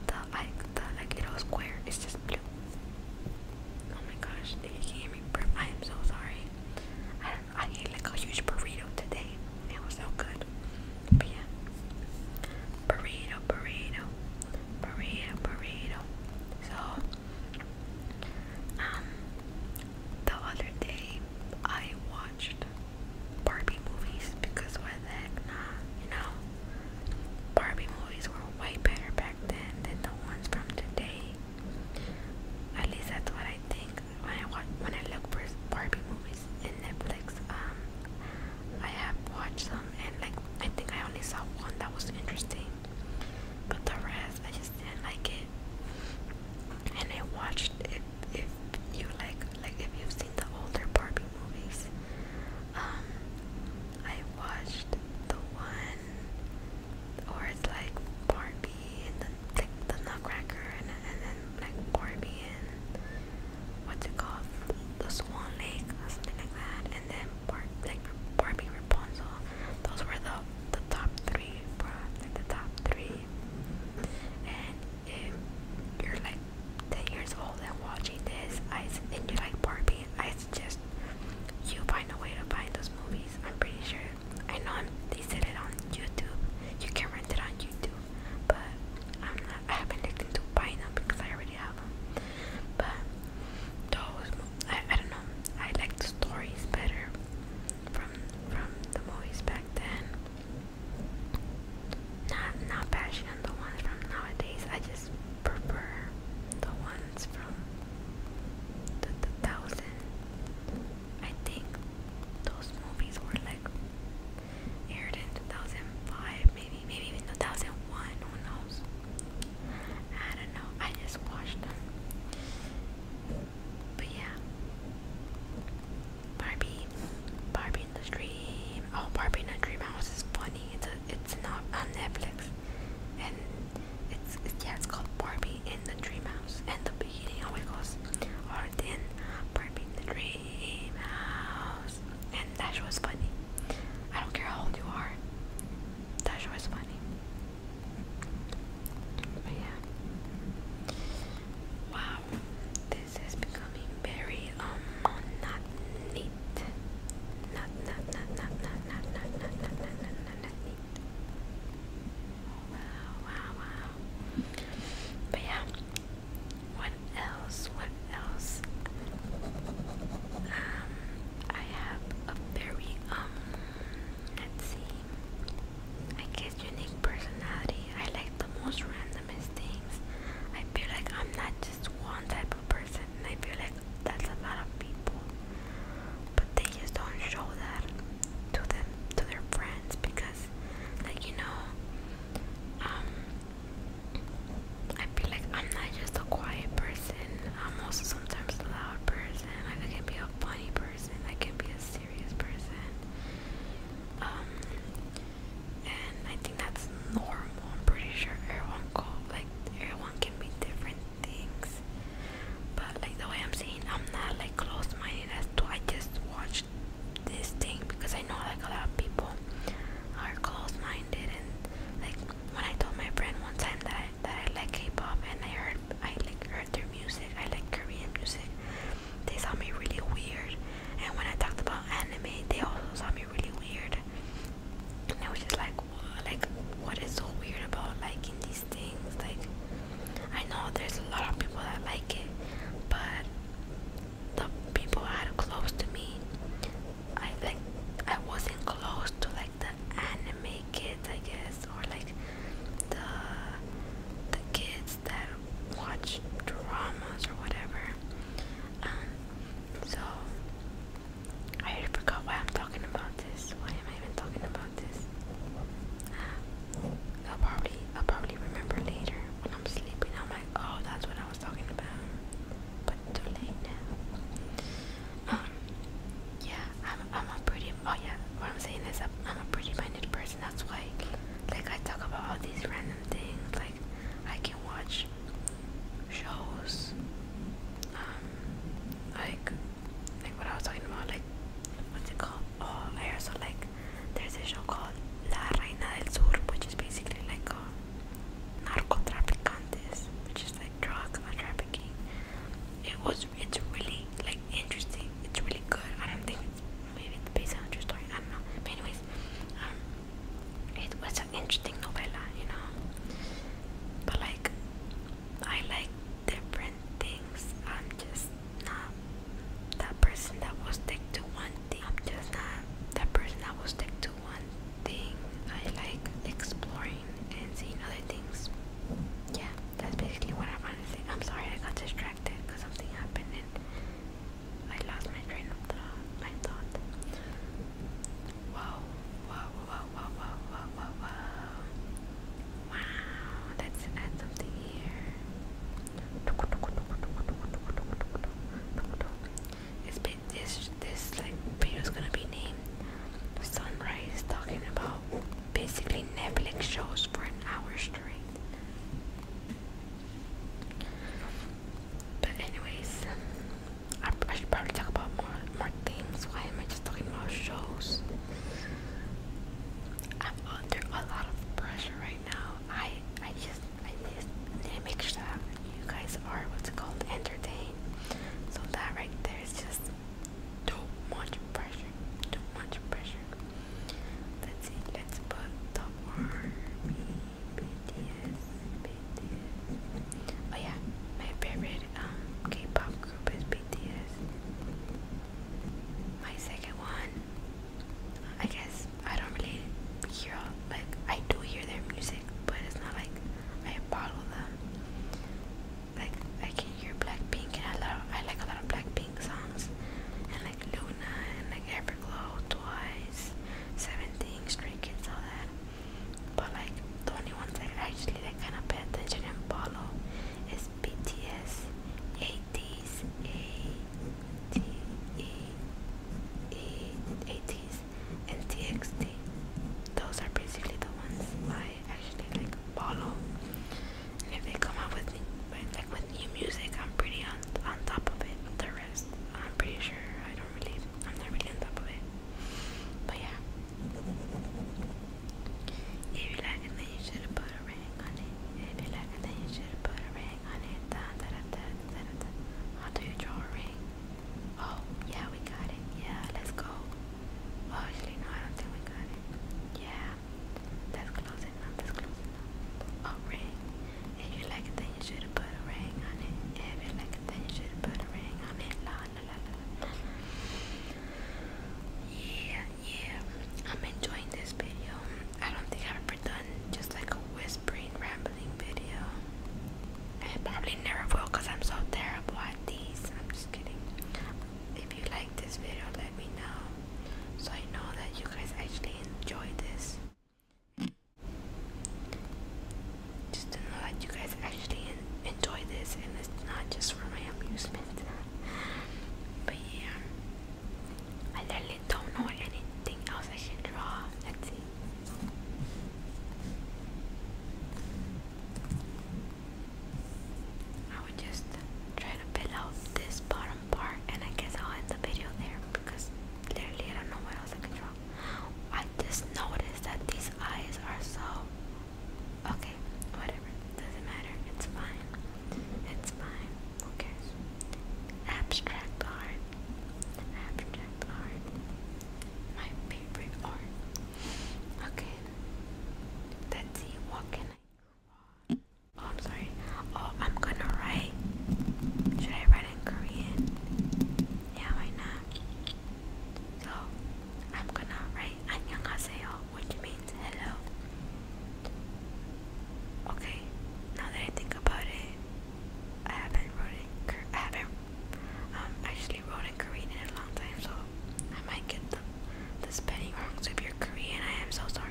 the like the like little square is just blue. Oh my gosh! If you can hear me burp, I am so sorry. I I ate like a huge burrito today. It was so good. But yeah, burrito, burrito, burrito, burrito. So um, the other day I watched Barbie movies because why the heck not, you know? Barbie movies were way better back then than the ones from today. At least that's what I think when I watch, when I look for Barbie movies in Netflix. Um, I have watched some and like I think I only saw one that was interesting, but the rest I just and like it. And I watched if if you like like if you've seen the older Barbie movies. Um I watched the one or it's like Barbie and the like the Nutcracker and and then like Barbie and what's it called the Swan Lake or something like that and then Bar like Barbie Rapunzel. Those were the the top three from like the top three. And if you're like 10 years old and watching this, I and you like Barbie, I suggest you find a way to find those movies. I'm pretty sure. I know they said it on YouTube. You can rent it on YouTube, but I'm not. I haven't looked into buying them because I already have them. But those, I, I don't know. I like the stories better from the movies back then. Not not bashing on the ones from nowadays. I just prefer the ones from the thousand. I think those movies were like aired in 2005, maybe maybe even 2001. Who knows? I don't know. I just watched them. But yeah. Barbie Barbie in the Dream. Oh Barbie in a Dream House is funny. It's a, it's not on Netflix. And it's, yeah, it's called Barbie in the Dream House. And the beginning always goes or then Barbie in the Dream And that show is funny. I don't care how old you are. That show is funny yeah. Wow, this is becoming very um not neat. not not not not not not not not not not not neat. Wow, wow, wow. But yeah, what else? What else? Um, I have a very um. Let's see. I guess unique personality. I like the most randomest things. I feel like I'm not just one type of person, and I feel like that's a lot of people. But they just don't show that to them, to their friends, because, like you know, um, I feel like I'm not just a quiet person. I'm also sometimes a loud person. Like I can be a funny person. I can be a serious person. Um, and I think that's normal. I'm pretty sure everyone go like everyone can be different things. But like the way I'm saying, I'm not like close-minded as to I just watched this thing because I know like a lot of people are close-minded and like when I told my friend one time that that I like K-pop and I heard I like heard their music. I like Korean music. They saw me really weird, and when I talked about anime, they also saw me really weird. And I was just like, like, what is so weird about liking these things? Like, I know there's a lot of people that like it, but the people I had close to me, I like, I wasn't close to like the anime kids, I guess, or like the the kids that watch dramas or whatever. Um, so I forgot why I'm talking about this. Why am I even talking about this? Um, I'll probably I'll probably remember later when I'm sleeping. I'm like, oh, that's what I was talking about. But too late now. Um, yeah, I'm I'm a pretty Oh yeah, what I'm saying is I'm a pretty-minded person. That's why, like, I talk about all these random things. Like, I can watch shows. Um, like, like what I was talking about. Like, what's it called? Oh, I also like. There's a show called La Reina del Sur, which is basically like a um, narcotraficantes, which is like drug trafficking. It was it's really like interesting. It's really good. I don't think it's, maybe it's based on a true story. I don't know. But anyways, um, it was an interesting novella, you know. But like, I like different things. I'm just not that person that will stick to one thing. I'm just not that person that will stick to one thing. I like exploring and seeing other things. Yeah, that's basically what I wanted to say. I'm sorry I got distracted because something happened and I lost my train of thought. Wow! Wow! Wow! Wow! Wow! Wow! Wow! Wow! Wow! Let's add something here. It's been, this this like video is gonna be named Sunrise talking about basically Netflix shows for an hour straight. But anyways, I, should probably talk about more more things. Why am I just talking about shows? I'm under a lot of pressure right now. I I just I just need to make sure that you guys are what's it called entertained. So that right there is just too much pressure. Too much pressure. Let's see, let's put the army BTS, BTS. Oh yeah, my favorite um, K-pop group is BTS. My second one, I guess I don't really hear like I do hear their music, but it's not like I follow them. Like I can hear Blackpink, and I love I like a lot of Blackpink songs, and like Luna and like Everglow, Twice, Seventeen, Stray Kids, all that. But like the only ones that actually like kind of pay attention and follow is BTS, ATEEZ, ATEEZ, and TXT. Those are basically the ones I actually like follow if they come out with like with new music, I'm pretty on on top of it. The rest, I'm pretty sure I don't really, I'm not really on top of it. But yeah, if you like it, then you should put a ring on it. If you like it, then you should put a ring on it. Da, da, da, da, da, da, How do you draw a ring? Oh, yeah, we got it. Yeah, let's go. Oh, actually, no, I don't think we got it. Yeah, that's close enough. That's close A ring. If you like it, then you should put a ring on it. If you like it, then you should put a ring on it. la la la. la. Yeah, yeah. I'm enjoying this video. I don't think I've ever done just like a whispering, rambling video. I probably never will because I'm so terrible at these. I'm just kidding if you like this video let me know so I know that you guys actually enjoy this just to know that you guys actually enjoy this and it's not just for my amusement but yeah I literally don't know anything else I can draw let's I would just try to peel out this bottom part and I guess I'll end the video there because literally I don't know what else I draw. I just noticed that these eyes are so okay, whatever. Doesn't matter. It's fine. It's fine. Who Abstract art. Abstract art. My favorite art. Okay. Let's see. What can I draw? Oh, I'm sorry. Oh, I'm gonna write. Should I write in Korean? Yeah, why not? So, I'm gonna write 안녕하세요, which means hello. Okay, now that I think about it, I haven't wrote in I haven't um, actually wrote Korean in a long time, so I might get the the spelling wrongs of your Korean. I am so sorry.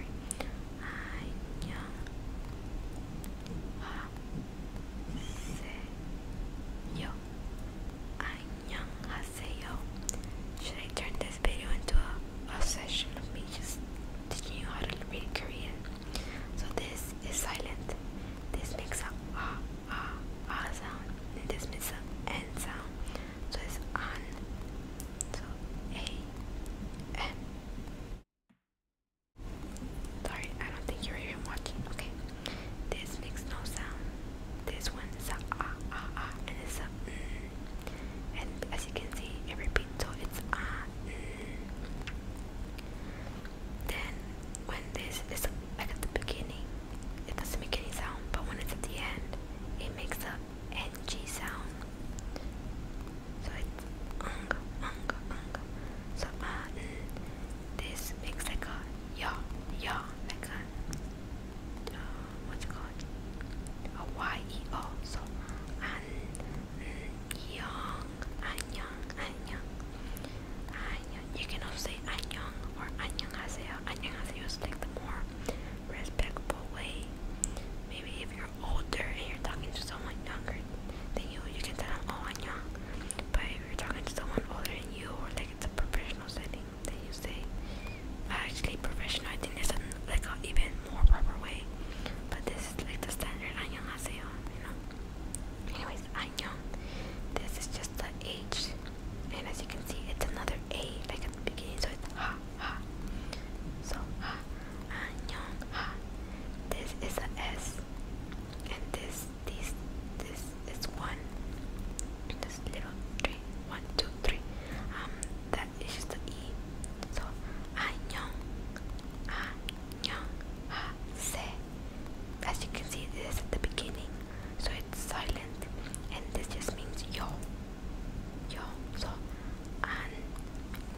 안녕하세요. Should I turn this video into a, a session of me just teaching you how to read Korean? So this is silent. This makes a ah ah ah sound. this makes a n sound so it's an sorry I don't think you're even watching okay this makes no sound this one is ah ah ah and it's a mm. and as you can see it repeats so it's ah mm. then when this is like at the beginning it doesn't make any sound but when it's at the end it makes a up and G sound. So it's ung, ung, ung. So uh, this makes like a ya, ya, like a uh, what's it called? A y e o. So an, young, an young, an young, You can also say an young or an young haseo. An young haseo is like the more respectful way. Maybe if you're older and you're talking to someone younger than you, you can tell them, oh, I'm young. But if you're talking to someone older than you, or like it's a professional setting, then you say, actually, professional, I think there's an, like an even more proper way. But this is like the standard 안녕하세요, oh, you know? Anyways, 안녕. This is just the age. And as you can see, it's another A, like at the beginning, so it's ha ha. So ha, annyeong ha. This is a S, and this, this, this is one. This little three, one, two, three. Um, that is just the E. So annyeong, annyeong ha se. As you can see, this is at the beginning, so it's silent, and this just means yo. 여서 안녕하세요.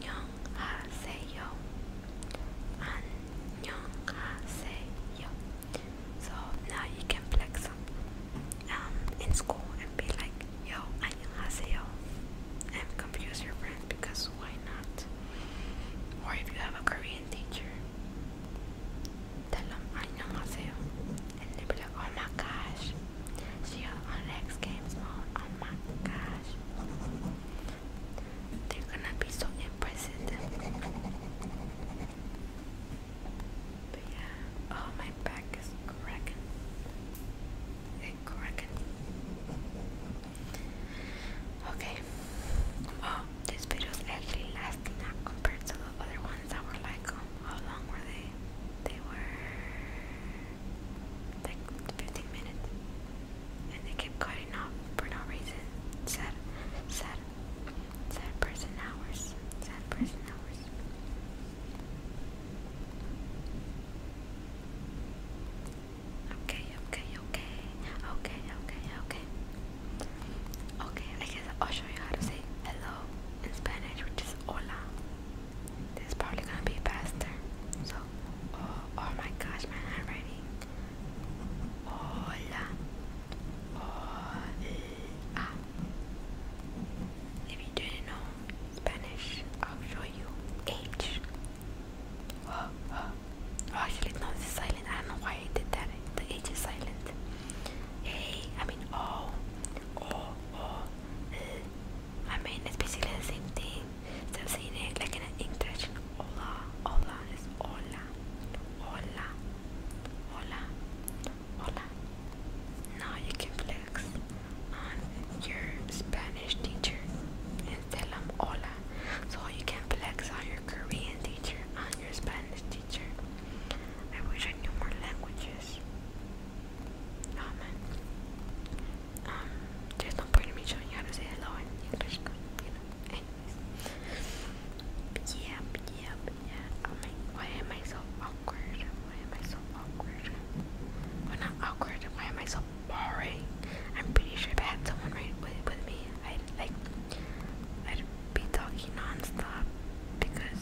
안녕하세요. So now you can flex um, in school and be like, yo, 안녕하세요. And confuse your friends because why not? Or if you have a Korean teacher, tell them 안녕하세요 and they'd be like, oh my gosh, she oh, on X Games mode, oh my gosh. They're gonna be so impressed. But yeah, oh my back is cracking. It cracking. Okay. Oh, this video is actually lasting compared to the other ones that were like um, how long were they? They were like 15 minutes, and they kept cutting off for no reason. Sad, person hours, sad person hours. Okay, okay, okay, okay, okay, okay. Okay, I'll show you how to say hello in Spanish, which is hola. This is probably gonna be faster. So, oh, oh, my gosh, my handwriting. Hola. Hola. If you didn't know Spanish, I'll show you H. Oh, oh. oh actually, no, it's silent. I don't know why I did that. The H is silent. Hey, mean, oh, oh, oh. I mean, it's basically the same thing. Instead of it like in English, hola, hola is hola, hola, hola, hola. Now you can flex on your Spanish teacher and tell them hola. So you can flex on your Korean teacher, on your Spanish teacher. I wish I knew more languages. Amen. Um, there's no me showing you how to say hello why am I so awkward? Why am I so awkward? Well, not awkward. Why am I so boring? I'm pretty sure if I had someone right with, with me, I'd like, I'd be talking nonstop because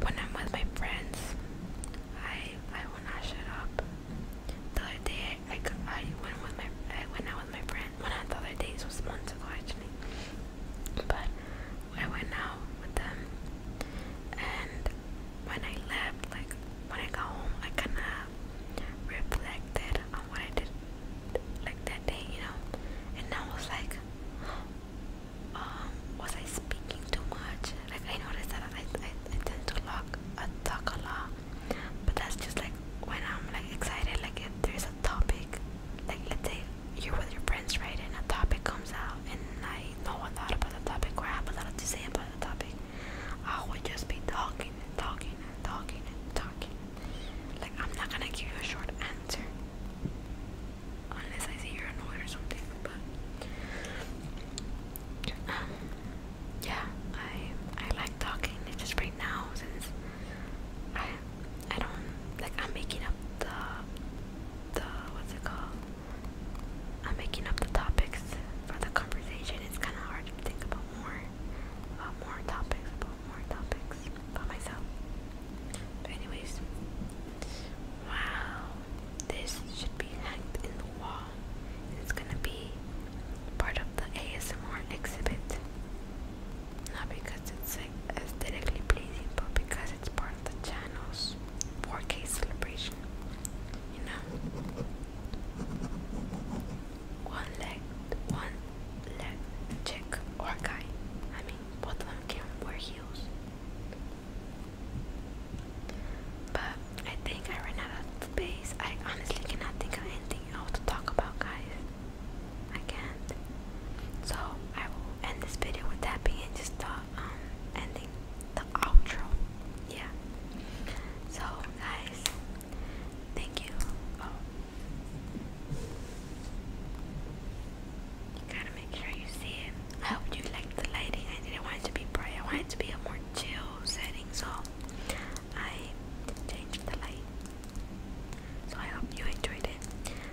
when I'm with my friends, I I will not shut up. The other day I, I went with my I went out with my friend. One of the other days was months ago actually, but I went out with them, and when I left, like when I got home, I kind of reflected on what I did like that day, you know, and I was like, um, was I speaking too much? Like I noticed that I, I, tend to lock, uh, talk a lot, but that's just like when I'm like excited. Like if there's a topic, like let's say you're with your friends, right, and a topic comes out, and I know a lot about the topic, or have a lot to say about the topic, I would just be talking talking talking talking. Like I'm not gonna give you a short answer unless I see you're annoyed or something. But um, yeah, I I like talking. just right now since I I don't like I'm making up the the what's it called? I'm making up the topics for the conversation. It's kind of hard to think about more about more topics about more topics about myself. But anyways, wow, this should be hanged in the wall. It's gonna be part of the ASMR exhibit. Not because it's aesthetically pleasing, but because it's part of the channel's 4K celebration. You know, one leg, one leg, chick or guy. I mean, both of them can wear heels. But I think I ran out of space. I honestly cannot think of anything else to talk about, guys. I can't. So I will end this video with that being just the um ending the outro. Yeah. So guys, thank you. Oh. You gotta make sure you see it. I hope you like the lighting. I didn't want it to be bright. I wanted it to be a more chill setting, so I changed the light. So I hope you enjoyed it.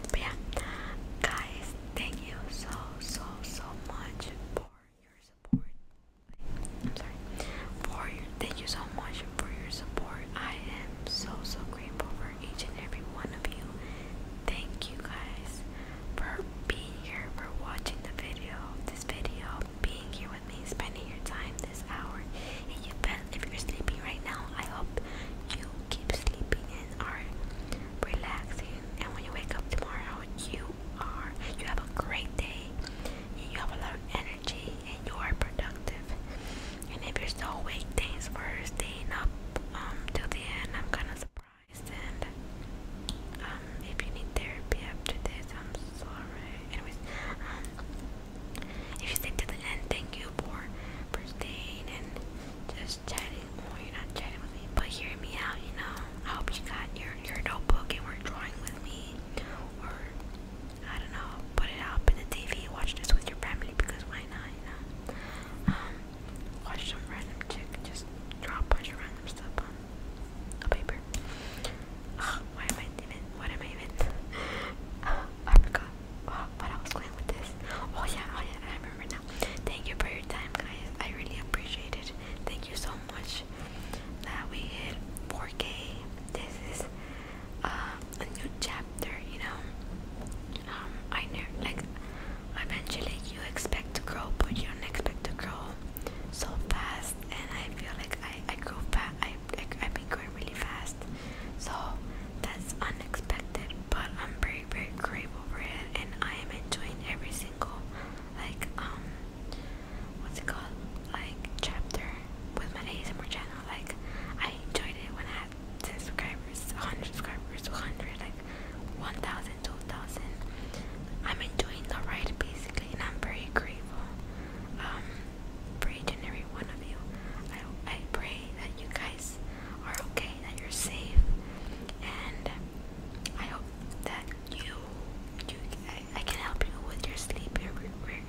But yeah, guys, thank you so so so much for your support. I'm sorry. For your thank you so much for your support. I am so so grateful for each and every one of you thank you guys for being here, for watching the video, this video, being here with me, spending your time this hour And If you're sleeping right now, I hope you keep sleeping and are relaxing. And when you wake up tomorrow, you are you have a great day. you have a lot of energy and you are productive. And if you're still awake, thanks for staying up um till the end. I'm gonna surprised and um if you need therapy after this I'm sorry anyways um if you stay to the end thank you for for staying and just chatting well you're not chatting with me but hearing me out you know I hope you got your your notebook and were drawing with me or I don't know put it up in the TV watch this with your family because why not um, watch some random chick just draw a bunch of random stuff on a paper. why am I even? What am I even? I forgot what I was going with this. Oh yeah, oh yeah, I remember now. Thank you for your time, guys. I really appreciate it. Thank you so much that we hit 4K. This is uh, a new chapter, you know. Um, I know, like, eventually you expect to grow, but you don't expect to grow so fast. And I feel like I, I grew fast, I, I, I've been growing really fast. So that's unexpected, but I'm very, very grateful for it. And I am enjoying every single, like, um, what's it called? Like, chapter with my ASMR channel. Like, I enjoyed it when I at subscribers, 100 subscribers, 100, like 1,000, 2,000. I'm enjoying the ride basically, I'm very grateful um, for each and every one of you. I, I pray that you guys are okay, that you're safe, and I hope that you, you I can help you with your sleep, your,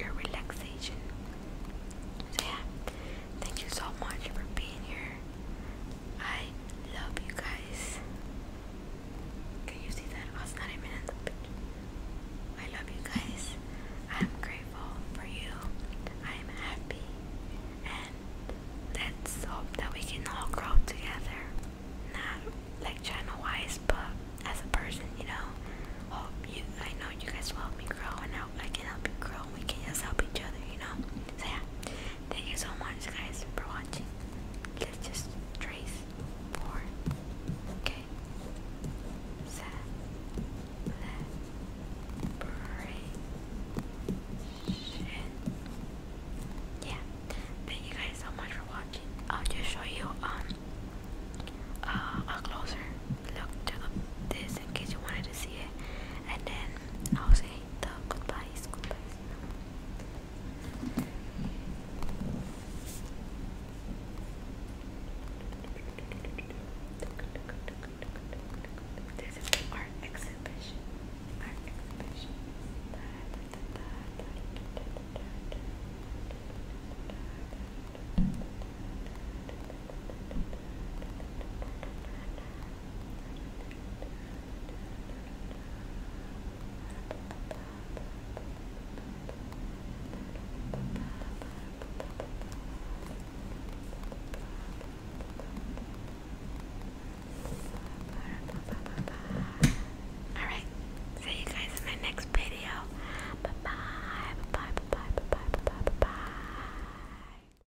your relaxation. So yeah, thank you so much for being here. I love you guys. Can you see that? Oh, it's not even in the picture. I love you guys. I'm grateful for you. I'm happy. And let's hope that we can all grow together. Not like channel wise, but as a person, you know. Hope you I know you guys will help me grow and I can help you grow. We can just help each other, you know. So yeah. Thank you so much, guys, for watching. Let's just trace four. Okay. Set. Yeah. Thank you guys so much for watching. I'll just show you um uh, a closer look to this in case you wanted to see it, and then I'll say Goodbye. escutar, art exhibition. Art exhibition. All right. See you guys in my next video. Bye bye. Bye bye. Bye bye. Bye bye. Bye bye. bye, -bye.